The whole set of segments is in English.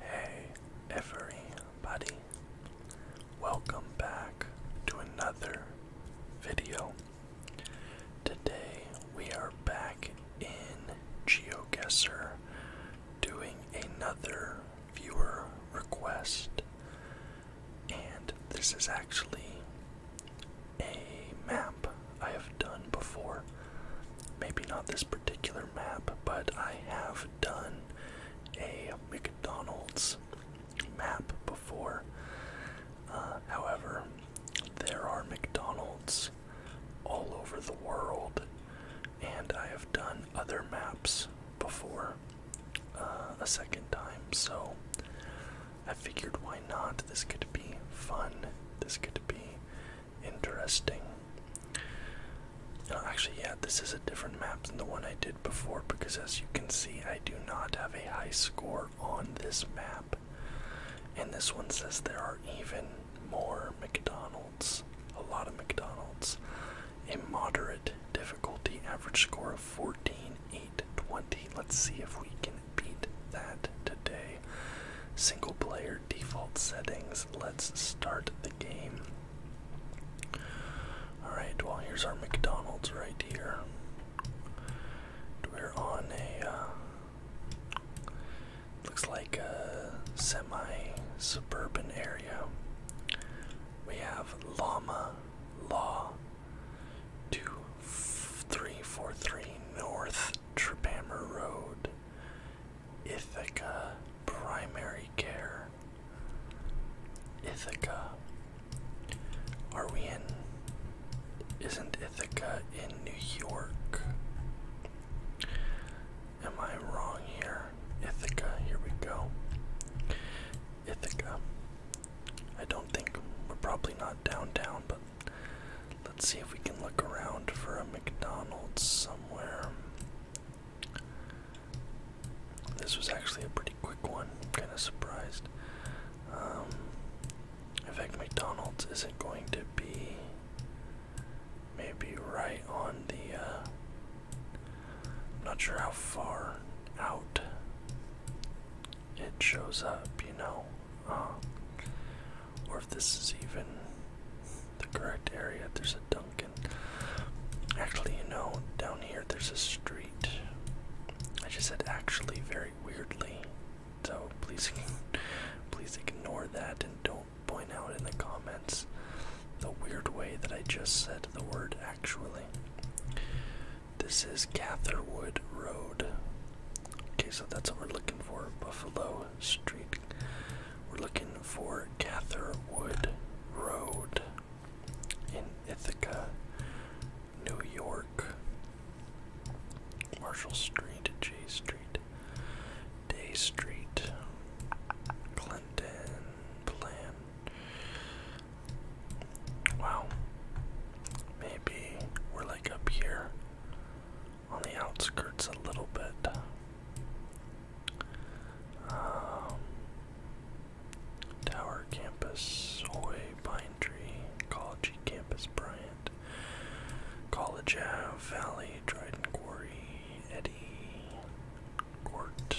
Hey, everybody. Welcome back to another video. Today we are back in GeoGuessr doing another viewer request. And this is actually a map I have done before. Maybe not this particular map, but I have done a McDonald's map before. Uh, however, there are McDonald's all over the world, and I have done other maps before uh, a second time, so I figured why not? This could be fun. This could be interesting. No, actually, yeah, this is a different map than the one I did before because, as you can see, I do not have a high score on this map. And this one says there are even more McDonald's, a lot of McDonald's. A moderate difficulty, average score of 14, 8, 20. Let's see if we can beat that today. Single player default settings. Let's start the game. Alright, well, here's our McDonald's right here. We're on a. Uh, looks like a semi suburban area. We have Llama Law 2343 North Trepammer Road. Ithaca Primary Care. Ithaca. Are we in? Isn't Ithaca in New York? Am I wrong here? Ithaca, here we go. Ithaca. I don't think we're probably not downtown, but let's see if we can look around for a McDonald's somewhere. This was actually a pretty quick one. kind of surprised. Um, in fact, McDonald's isn't going to be maybe right on the. Uh, not sure how far out it shows up, you know. Uh, or if this is even the correct area. There's a Duncan. Actually, you know, down here there's a street. I just said actually very weirdly, so please, please ignore that and don't point out in the comments the weird way that I just said the word actually. This is Catherwood Road. Okay, so that's what we're looking for. Buffalo Street we're looking for Catherwood Road in Ithaca, New York. Marshall Street, J Street, Day Street, Clinton, Plan. Wow. Maybe we're like up here on the outskirts a little bit. Um, Tower Campus, Hoy, Pine Tree, College Campus, Bryant, College Ave, Valley, Dryden Quarry, Eddy, Court,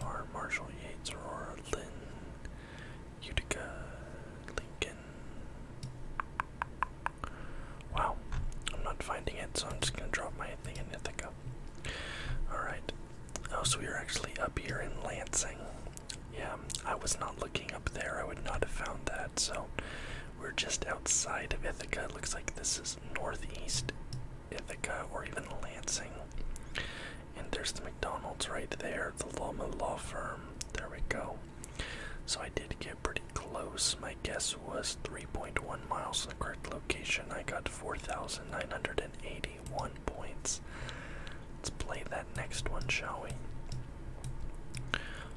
Farm, Marshall, Yates, Aurora, Lynn, Utica, Lincoln, Wow, I'm not finding it, so I'm just gonna drop my thing in Ithaca. Alright. Oh, so we are actually up here in Lansing. Yeah, I was not looking up there. I would not have found that. So we're just outside of Ithaca. It looks like this is northeast Ithaca or even Lansing. And there's the McDonald's right there, the Loma Law Firm. There we go. So I did get pretty close. My guess was 3.1 miles in the correct location. I got 4,981 points. Let's play that next one, shall we?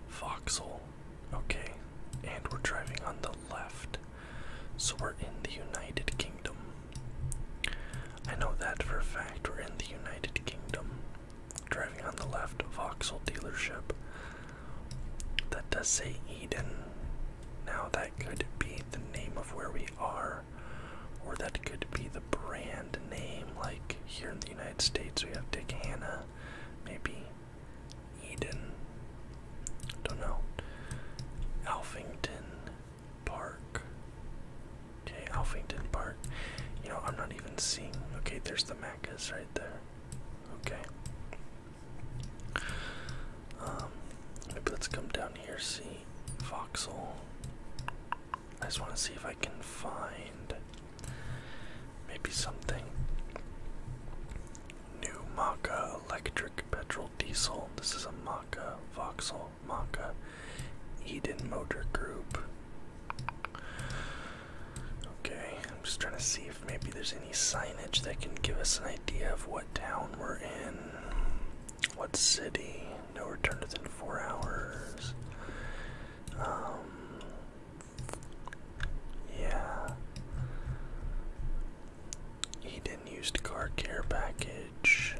Foxhole. Okay, and we're driving on the left. So we're in the United Kingdom. I know that for a fact. We're in the United Kingdom. Driving on the left, Vauxhall dealership. That does say Eden. Now, that could be the name of where we are, or that could be the brand name. Like here in the United States, we have Dick Hanna, maybe Eden. Don't know. Alphington Park. Okay, Alphington Park. You know, I'm not even seeing. Okay, there's the Macas right there. Okay. Um, maybe let's come down here, see Vauxhall. I just want to see if I can find maybe something. New Maka electric petrol diesel. This is a Maka Vauxhall Maka Eden Motor Group. Okay, I'm just trying to see if maybe there's any signage that can give us an idea of what town we're in. What city? No return within four hours. Um, yeah. Eden used car care package.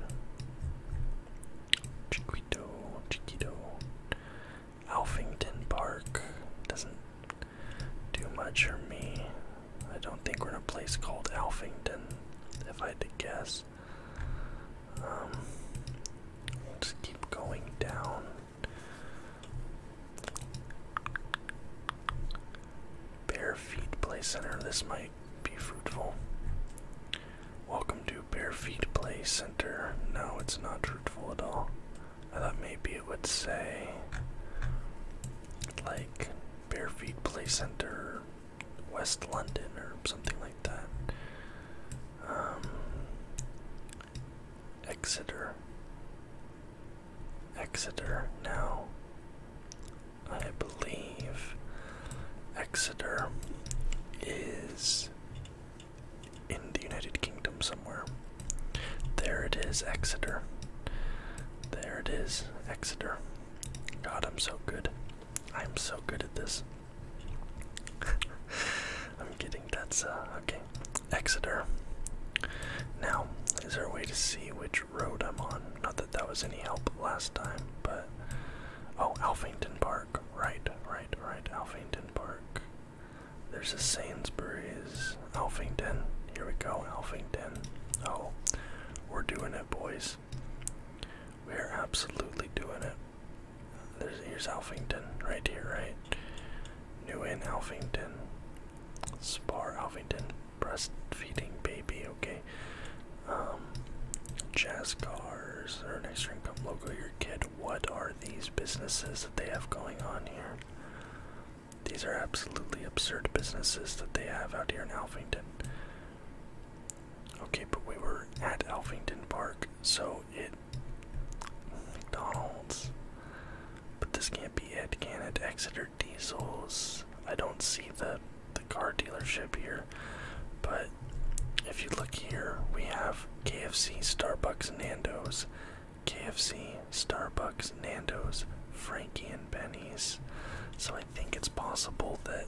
Chiquito, Chiquito. Alphington Park. Doesn't too much for me. I don't think we're in a place called Alphington, if I had to guess. Um, keep going down. Bare Feet Play Center. This might be fruitful. Welcome to Bare Feet Play Center. No, it's not fruitful at all. I thought maybe it would say like Barefeet Play Center, West London, or something like that. Um, Exeter. Exeter. Now, I believe Exeter is in the United Kingdom somewhere. There it is, Exeter. There it is, Exeter. God, I'm so good. I'm so good at this. I'm getting that's uh okay. Exeter. Now, is there a way to see which road I'm on? Not that that was any help last time, but. Oh, Alphington Park. Right, right, right. Alphington Park. There's a Sainsbury's. Alphington. Here we go, Alphington. Oh, we're doing it, boys. We're absolutely doing it. There's, here's Alphington, right here, right? New Inn, Alphington. Spar, Alphington. Breastfeeding baby, okay. Um, jazz cars, or next string come logo your kid. What are these businesses that they have going on here? These are absolutely absurd businesses that they have out here in Alphington. Okay, but we were at Alphington Park, so it. McDonald's. But this can't be it, can it? Exeter Diesels. I don't see the, the car dealership here, but if you look here, we have KFC, Starbucks, and Nando's, KFC, Starbucks, Nando's, Frankie, and Benny's. So I think it's possible that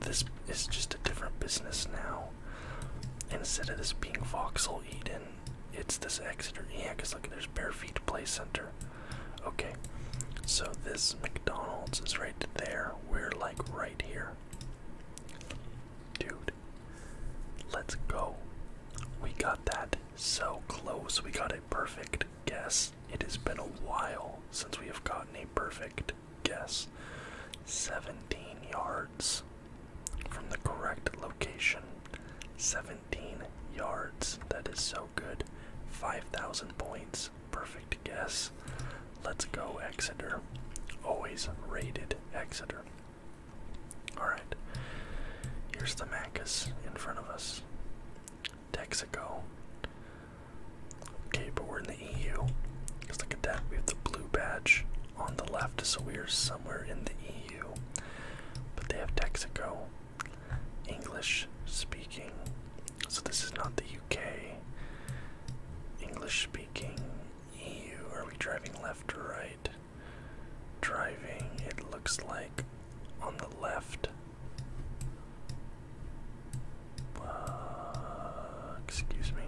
this is just a different business now. Instead of this being Vauxhall Eden, it's this Exeter. Yeah, because look, there's Bare Feet Play Center. Okay, so this McDonald's is right there. We're like right here. Dude, let's go. We got that. So close, we got a perfect guess. It has been a while since we have gotten a perfect guess. 17 yards from the correct location. 17 yards. That is so good. 5,000 points. Perfect guess. Let's go, Exeter. Always rated Exeter. Alright. Here's the Macus in front of us. Texaco. Okay, but we're in the EU. Because look at that. We have the blue badge on the left, so we are somewhere in the EU. But they have Texaco. English speaking. So this is not the UK. English speaking EU. Are we driving left or right? driving, it looks like, on the left. excuse me.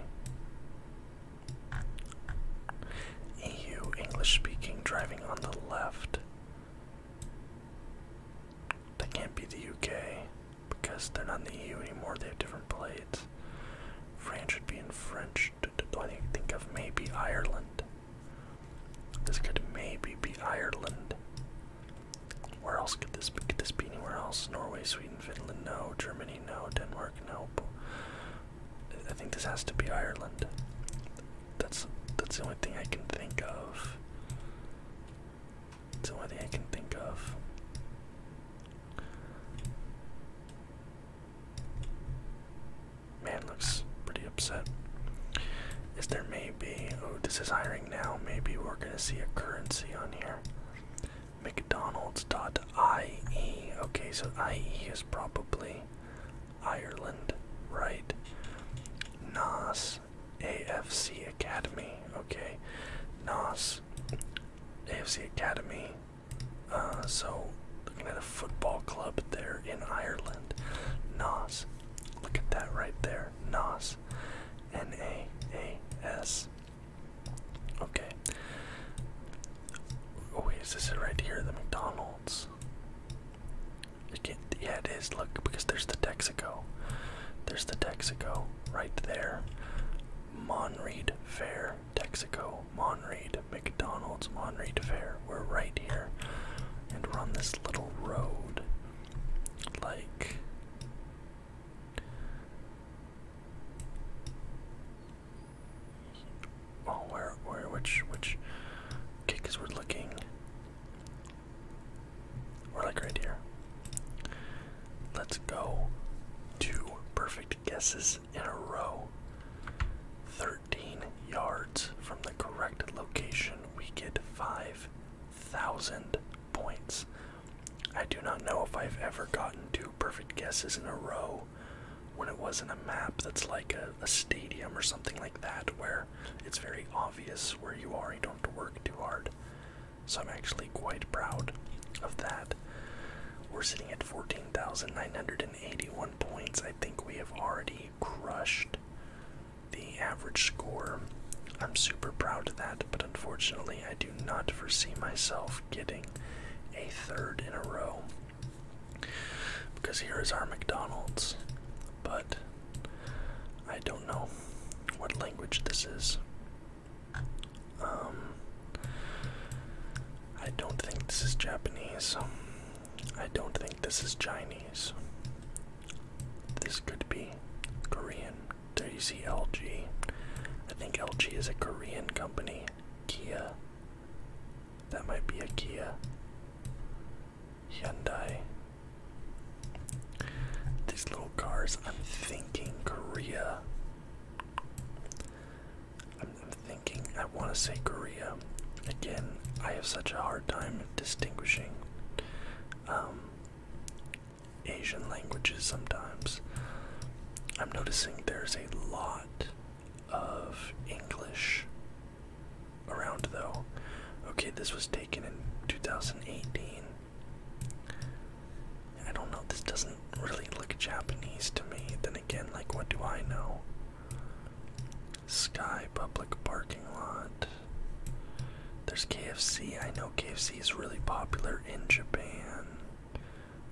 EU, English speaking, driving on the left. That can't be the UK because they're not in the EU anymore, they have different plates. France should be in French. Do I think of maybe Ireland? This could maybe be Ireland. Where else could this be? Could this be anywhere else? Norway, Sweden, Finland, no. Germany, no. Denmark, no. I think this has to be Ireland. That's that's the only thing I can think of. It's the only thing I can think of. Man looks pretty upset. Is there maybe. Oh, this is hiring now. Maybe we're gonna see a currency on here. McDonald's dot I E. Okay, so IE is probably Ireland, right? NAS AFC Academy. Okay, NAS AFC Academy. Uh, so Looking at a football club there in Ireland. Nas. Look at that right there. Nas. N A A S. Okay. Oh, wait, is this it right here? The McDonald's. yeah, it is. Look, because there's the Texaco. There's the Texaco right there. Monreed Fair, Texaco, Monreed to McDonald's, Monterey Fair. We're right here, and we're on this little road. Like, oh, where, where, which, which? Okay, we're looking. We're like right here. Let's go. Two perfect guesses in a row. 13 13 yards from the correct location, we get 5,000 points. I do not know if I've ever gotten two perfect guesses in a row when it wasn't a map that's like a, a stadium or something like that, where it's very obvious where you are, you don't have to work too hard. So I'm actually quite proud of that. We're sitting at 14,900. 181 points. I think we have already crushed the average score. I'm super proud of that, but unfortunately, I do not foresee myself getting a third in a row. Because here is our McDonald's, but I don't know what language this is. Um, I don't think this is Japanese. I don't think this is Chinese. This could be Korean. There you see LG. I think LG is a Korean company. Kia. That might be a Kia. Hyundai. These little cars, I'm thinking Korea. I'm thinking I want to say Korea. Again, I have such a hard time distinguishing um, Asian languages sometimes. I'm noticing there's a lot of English around though. Okay, this was taken in 2018. I don't know, this doesn't really look Japanese to me. Then again, like, what do I know? Sky Public Parking Lot. There's KFC. I know KFC is really popular in Japan.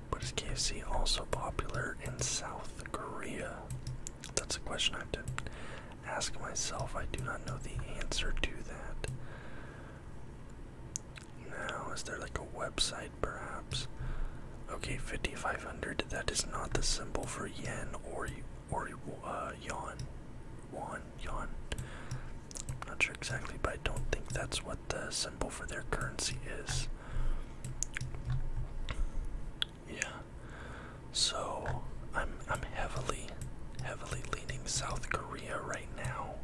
But is KFC also popular in South Korea? That's a question I have to ask myself. I do not know the answer to that. Now, is there like a website perhaps? Okay, 5500. That is not the symbol for yen or or uh, yuan. Yuan, yuan. I'm not sure exactly, but I don't think that's what the symbol for their currency is. Yeah. So I'm I'm heavily, heavily leaning South Korea right now.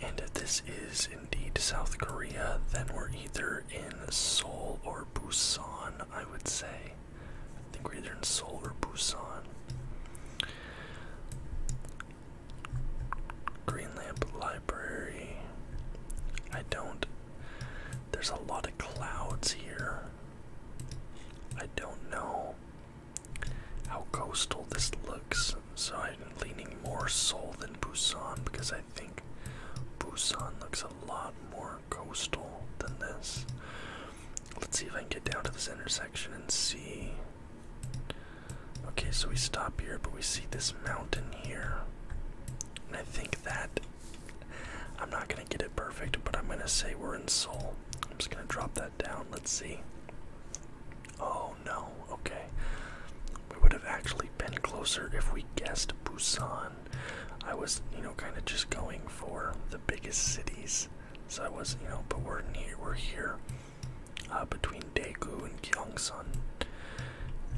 And if this is indeed South Korea, then we're either in Seoul or Busan, I would say. I think we're either in Seoul or Busan. Green Lamp Library. I don't. There's a lot of clouds here. I don't know how coastal this looks, so I'm leaning more Seoul than Busan because I I think Busan looks a lot more coastal than this. Let's see if I can get down to this intersection and see. Okay, so we stop here, but we see this mountain here. And I think that I'm not gonna get it perfect, but I'm gonna say we're in Seoul. I'm just gonna drop that down. Let's see. Oh no, okay. We would have actually been closer if we guessed Busan. I was, you know, kind of just going for the biggest cities. So I was, not you know, but we're near, we're here uh, between Daegu and Gyeongsan.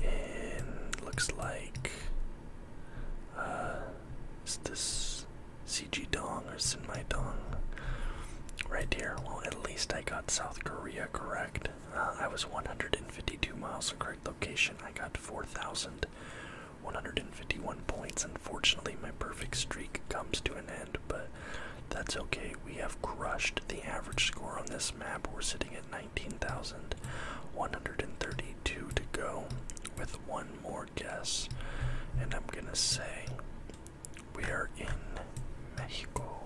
And looks like uh, it's this CG Dong or Sinmai Dong right here. Well, at least I got South Korea correct. Uh, I was 152 miles from correct location. I got 4,151 points. Unfortunately, my perfect streak comes to an end, but that's okay. We have crushed the average score on this map. We're sitting at 19,132 to go with one more guess. And I'm gonna say we are in Mexico.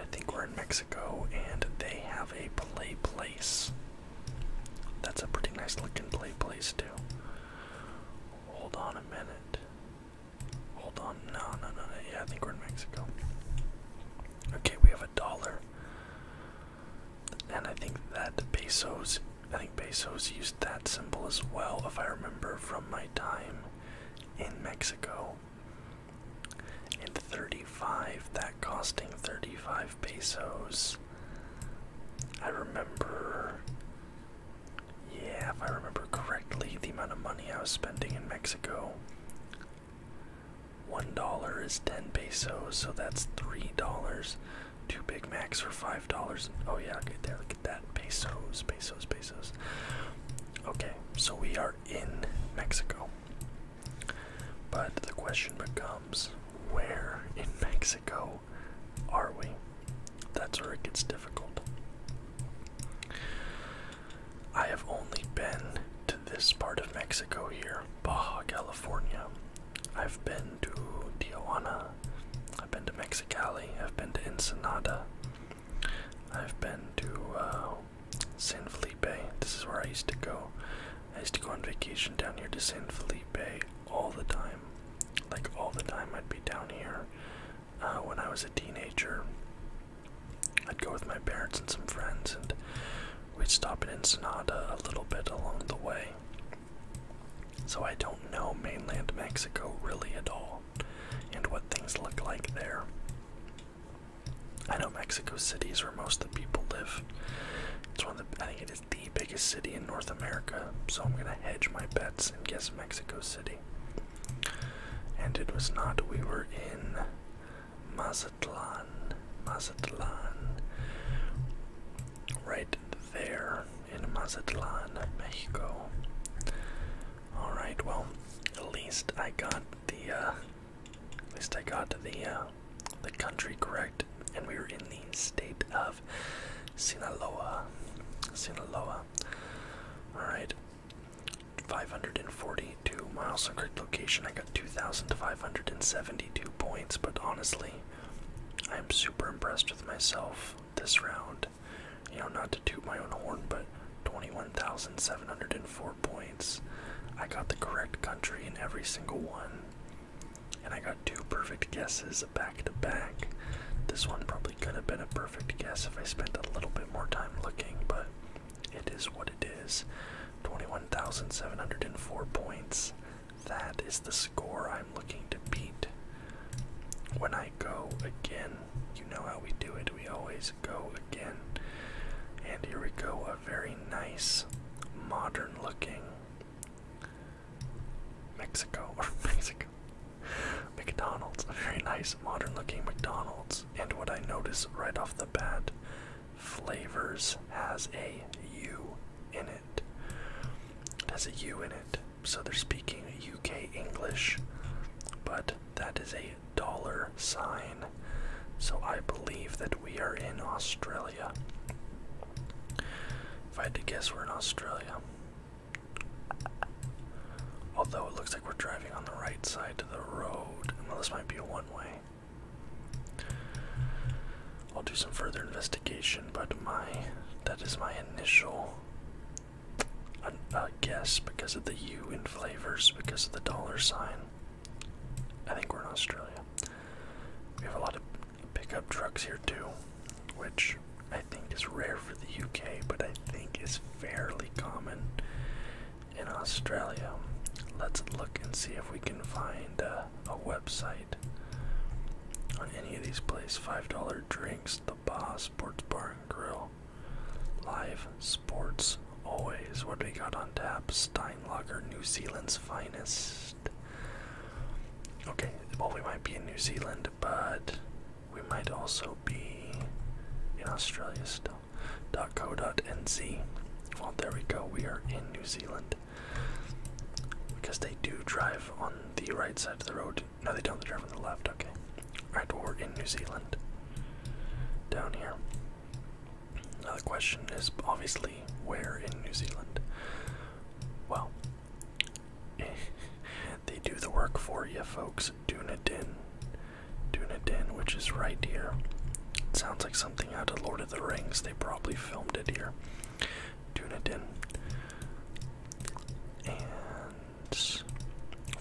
I think we're in Mexico and they have a play place. That's a pretty nice looking play place too. Hold on a minute. Hold on. No, no, no, no. Yeah, I think we're in Mexico. Okay, we have a dollar. And I think that pesos, I think pesos used that symbol as well, if I remember from my time in Mexico and 35, that costing 35 pesos. I remember, yeah, if I remember correctly, the amount of money I was spending in Mexico. One dollar is 10 pesos, so that's three dollars. Two Big Macs for five dollars. Oh, yeah, get that. look at that. Pesos, pesos, pesos. Okay, so we are in Mexico. But the question becomes where in Mexico are we? That's where it gets difficult. I have only been to this part of Mexico here, Baja California. I've been to Tijuana. I've been to Mexicali. I've been to Ensenada. I've been to uh, San Felipe. This is where I used to go. I used to go on vacation down here to San Felipe all the time. Like all the time, I'd be down here. Uh, when I was a teenager, I'd go with my parents and some friends, and we'd stop in Ensenada a little bit along the way. So I don't know mainland Mexico really at all, and what things look like there. I know Mexico City is where most of the people live. It's one of the I think it is the biggest city in North America, so I'm gonna hedge my bets and guess Mexico City. And it was not. We were in Mazatlan, Mazatlan, right there in Mazatlan, Mexico. All right, well, at least I got the uh, at least I got the uh, the country correct, and we were in the state of Sinaloa. Sinaloa. All right. 542 miles on correct location. I got 2,572 points, but honestly, I am super impressed with myself this round. You know, not to toot my own horn, but 21,704 points. I got the correct country in every single one. And I got two perfect guesses back to back. This one probably could have been a perfect guess if I spent a little bit more time looking, but it is what it is. 21,704 points. That is the score I'm looking to beat. When I go again, you know how we do it. We always go again. And here we go very nice, modern looking Mexico or Mexico McDonald's. very nice, modern looking McDonald's. And what I notice right off the bat, flavors has a U in it. It has a U in it. So they're speaking UK English, but that is a dollar sign so I believe that we are in Australia. If I had to guess, we're in Australia. Although it looks like we're driving on the right side of the road. Well, this might be a one way. I'll do some further investigation, but my that is my initial uh, uh, guess because of the U in flavors, because of the dollar sign. I think we're in Australia. We have a lot of pickup trucks here too, which I think is rare for the UK, but I think is fairly common in Australia. Let's look and see if we can find uh, a website on any of these places. $5 drinks, the Boss, Sports Bar and Grill, Live Sports always. What do we got on tap? Steinlager, New Zealand's finest. Okay, well, we might be in New Zealand, but we might also be in Australia still. Co. Nz. Well, there we go. We are in New Zealand. Because they do drive on the right side of the road. No, they don't. They drive on the left. Okay. Alright, we're in New Zealand. Down here. Now uh, the question is obviously where in New Zealand? Well, they do the work for you, folks. Dunedin. Dunedin, which is right here. sounds like something out of Lord of the Rings. They probably filmed it here. Dunedin. And.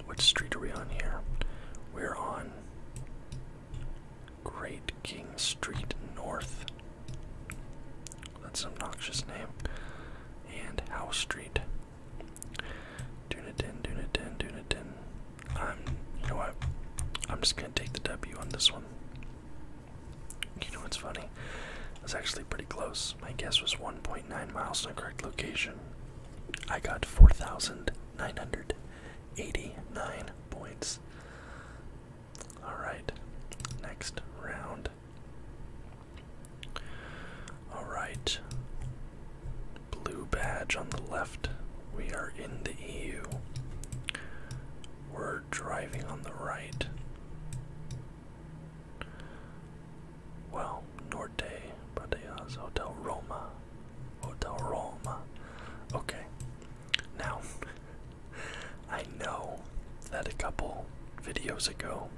What street are we on here? We're on Great King Street North. That's an obnoxious name. And House Street. Dunedin, Dunedin, Dunedin. I'm, you know what? I'm just gonna take the W on this one. You know what's funny? That's actually pretty close. My guess was 1.9 miles in the correct location. I got 4,900 89 points. Alright, next round. Alright, blue badge on the left. We are in the EU. We're driving on the right. Well, Norte Pradeas Hotel Roma Hotel Roma. Okay. Now, I know that a couple videos ago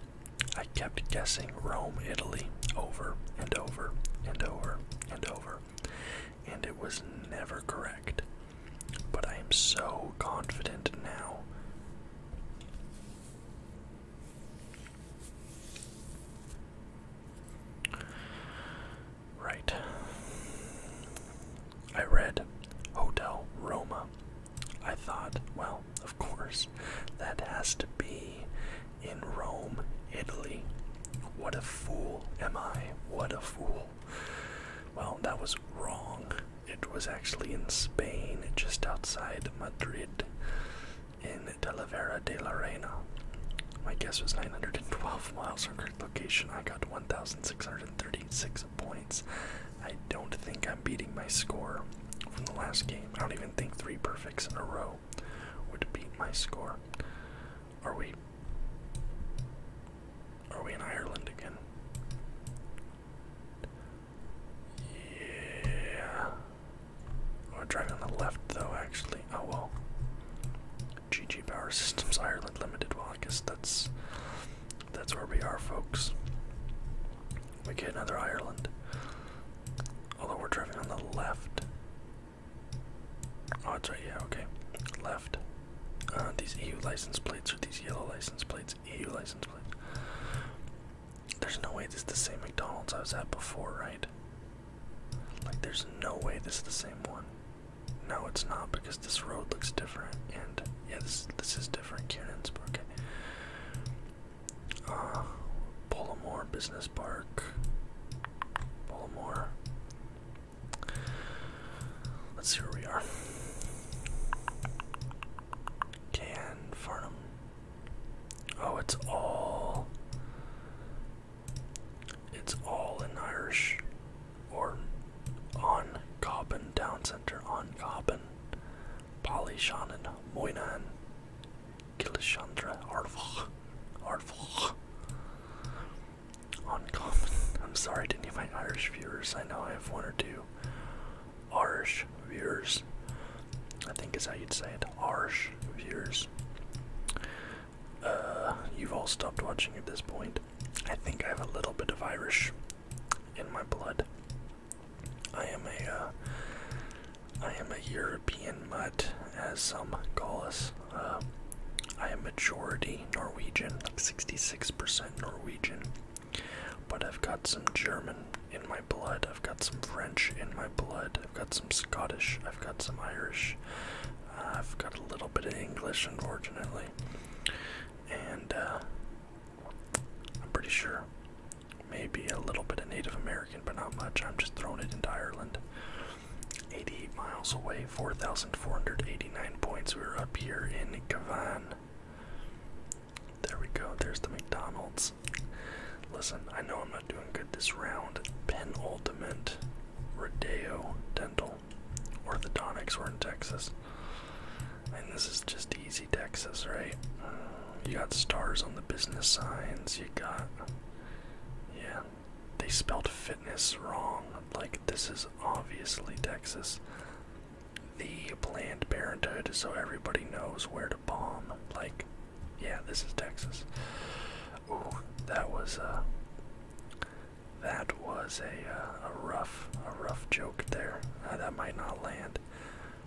I kept guessing Rome, Italy over and over and over and over, and it was never correct. But I am so confident now. Right. I read Hotel Roma. I thought, well, of course, that has to be in Rome, Italy. What a fool am I? What a fool. Well, that was wrong. It was actually in Spain, just outside Madrid, in Talavera de la Reina. My guess was 912 miles from location. I got 1,636 points. I don't think I'm beating my score from the last game. I don't even think three perfects in a row would beat my score. Are we? Are we in Ireland again? Yeah. We're oh, driving on the left though, actually. Oh well. GG Power Systems Ireland Limited. Well, I guess that's that's where we are, folks. We get another Ireland. Although we're driving on the left. Oh, it's right. Yeah, okay. Left. Uh, these EU license plates are these yellow license plates. EU license plates. There's no way this is the same McDonald's I was at before, right? Like, there's no way this is the same one. No, it's not because this road looks different. And yeah, this this is different. Cannons, okay. Uh, Business Park. Pollamore. Let's see where we are. Can Farnham. Oh, it's all it's all in Irish or on Cobbin Town Center on Cobbin. Polyshannon Moynan Kilishandra Arvach Arvach on Cobbin. I'm sorry, I didn't get my Irish viewers. I know I have one or two Irish viewers. I think is how you'd say it. Irish viewers. Uh, you've all stopped watching at this point. I think I have a little bit of Irish in my blood. I am a, uh, am a European mutt, as some call us. Uh, I am majority Norwegian, like 66% Norwegian, but I've got some German in my blood. I've got some French in my blood. I've got some Scottish. I've got some Irish. I've got a little bit of English, unfortunately, and uh, I'm pretty sure maybe a little bit of Native American, but not much. I'm just throwing it into Ireland. 88 miles away, 4,489 points. We are up here in Cavan. There we go. There's the McDonald's. Listen, I know I'm not doing good this round. Penultimate Rodeo Dental orthodontics were in Texas. And this is just easy Texas, right? You got stars on the business signs, you got. Yeah. They spelled fitness wrong. Like, this is obviously Texas. The Planned Parenthood, so everybody knows where to bomb. Like, yeah, this is Texas. Ooh, that was, uh. That was a, uh, a rough, a rough joke there. Uh, that might not land.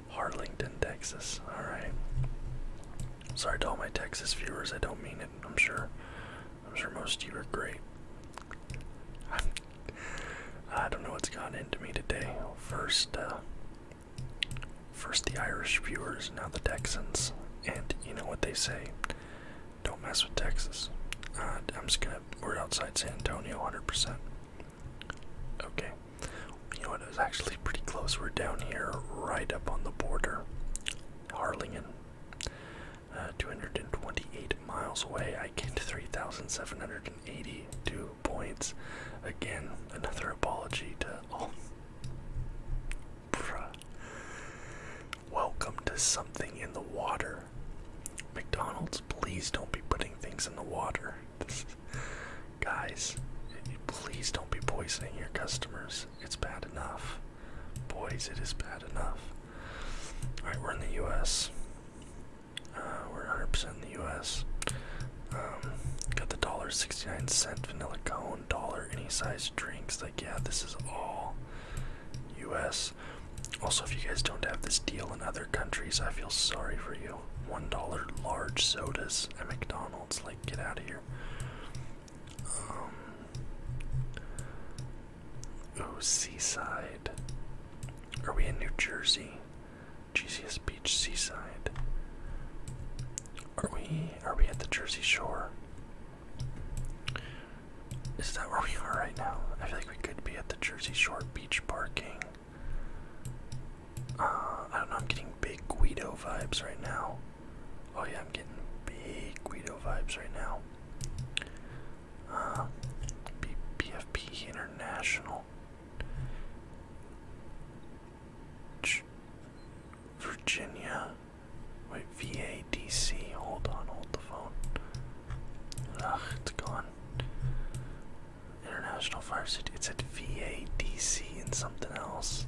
Harlington, Texas. All right. Sorry to all my Texas viewers. I don't mean it. I'm sure. I'm sure most of you are great. I'm, I do not know what's gone into me today. First, uh, first the Irish viewers, now the Texans, and you know what they say. Don't mess with Texas. Uh, I'm just gonna. We're outside San Antonio, 100%. Okay. You know what? It was actually pretty close. We're down here, right up on the border. Harlingen. Uh, 228 miles away. I get 3,782 points. Again, another apology to all. Welcome to something in the water. McDonald's, please don't be putting things in the water. guys, please don't be poisoning your customers. It's bad enough. Boys, it is bad enough. Alright, we're in the US. Uh, we're 100% in the US. Um, got the dollar sixty-nine cent vanilla cone. Dollar any size drinks. Like yeah, this is all U.S. Also, if you guys don't have this deal in other countries, I feel sorry for you. One dollar large sodas at McDonald's. Like get out of here. Oh, seaside. Are we in New Jersey? Jesus Beach, seaside. Are we? Are we at the Jersey Shore? Is that where we are right now? I feel like we could be at the Jersey Shore beach parking. Uh, I don't know, I'm getting big Guido vibes right now. Oh yeah, I'm getting big Guido vibes right now. Uh, BFP International. Virginia. Wait, VADC. Hold on, hold the phone. Ugh, it's gone. International Fire City. It's at VADC and something else.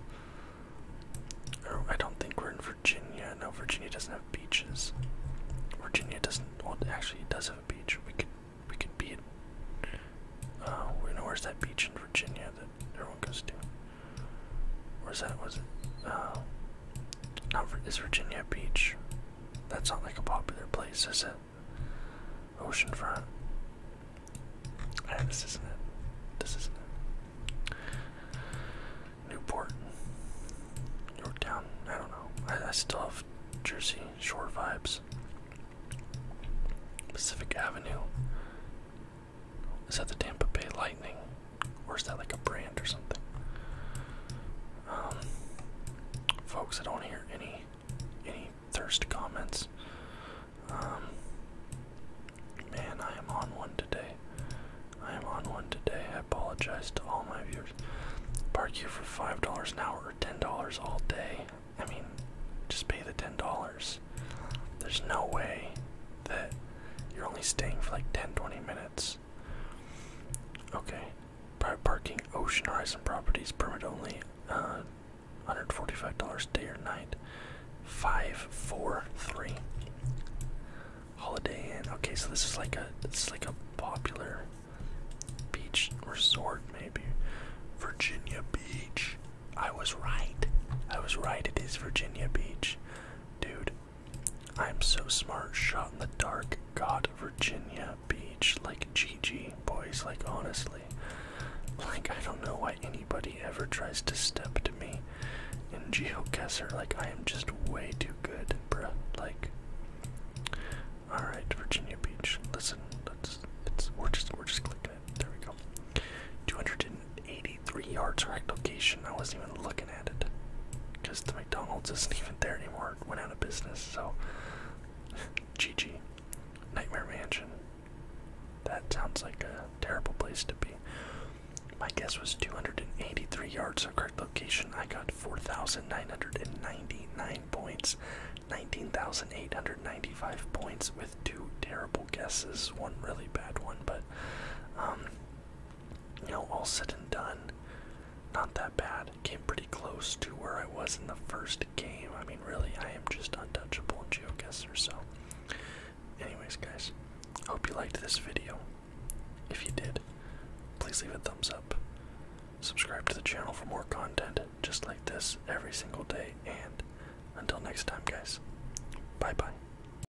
Or I don't think we're in Virginia. No, Virginia doesn't have beaches. Virginia doesn't. Well, actually, it does have a beach. We could, we could be at. Uh, we where's that beach in Virginia that everyone goes to. Or that was it? Uh, not Virginia Beach? That's not like a popular place, is it? Oceanfront. Ah, this isn't it. This isn't it. Newport. Yorktown. I don't know. I still have Jersey Shore vibes. Pacific Avenue. Is that the Tampa Bay Lightning? Or is that like a brand or something? Um, folks, I don't hear any any thirst comments. Um, man, I am on one today. I am on one today. I apologize to all my viewers. Park you for five dollars an hour or ten dollars all day. I mean, just pay the ten dollars. There's no way that you're only staying for like 10 20 minutes. Okay, private parking, Ocean Horizon Properties, permit only, uh, $145 day or night, 543. Holiday Inn, okay, so this is like a, this is like a popular beach resort maybe. Virginia Beach, I was right, I was right, it is Virginia Beach. Dude, I'm so smart, shot in the dark, got Virginia Beach, like GG, boys, like honestly. Like, I don't know why anybody ever tries to step to me in GeoGuessr, like, I am just way too good, bro. like. Alright, Virginia Beach, listen, let's, it's, we're just, we're just clicking there we go. 280 83 yards correct location. I wasn't even looking at it because the McDonald's isn't even there anymore. It went out of business. So, GG. Nightmare Mansion. That sounds like a terrible place to be. My guess was 283 yards of correct location. I got 4,999 points, 19,895 points with two terrible guesses, one really bad one, but um, you know, all said and done, not that bad. Came pretty close to where I was in the first game. I mean, really, I am just untouchable in GeoGuessr. So, anyways, guys, hope you liked this video. If you did, please leave a thumbs up. Subscribe to the channel for more content just like this every single day. And until next time, guys, bye bye.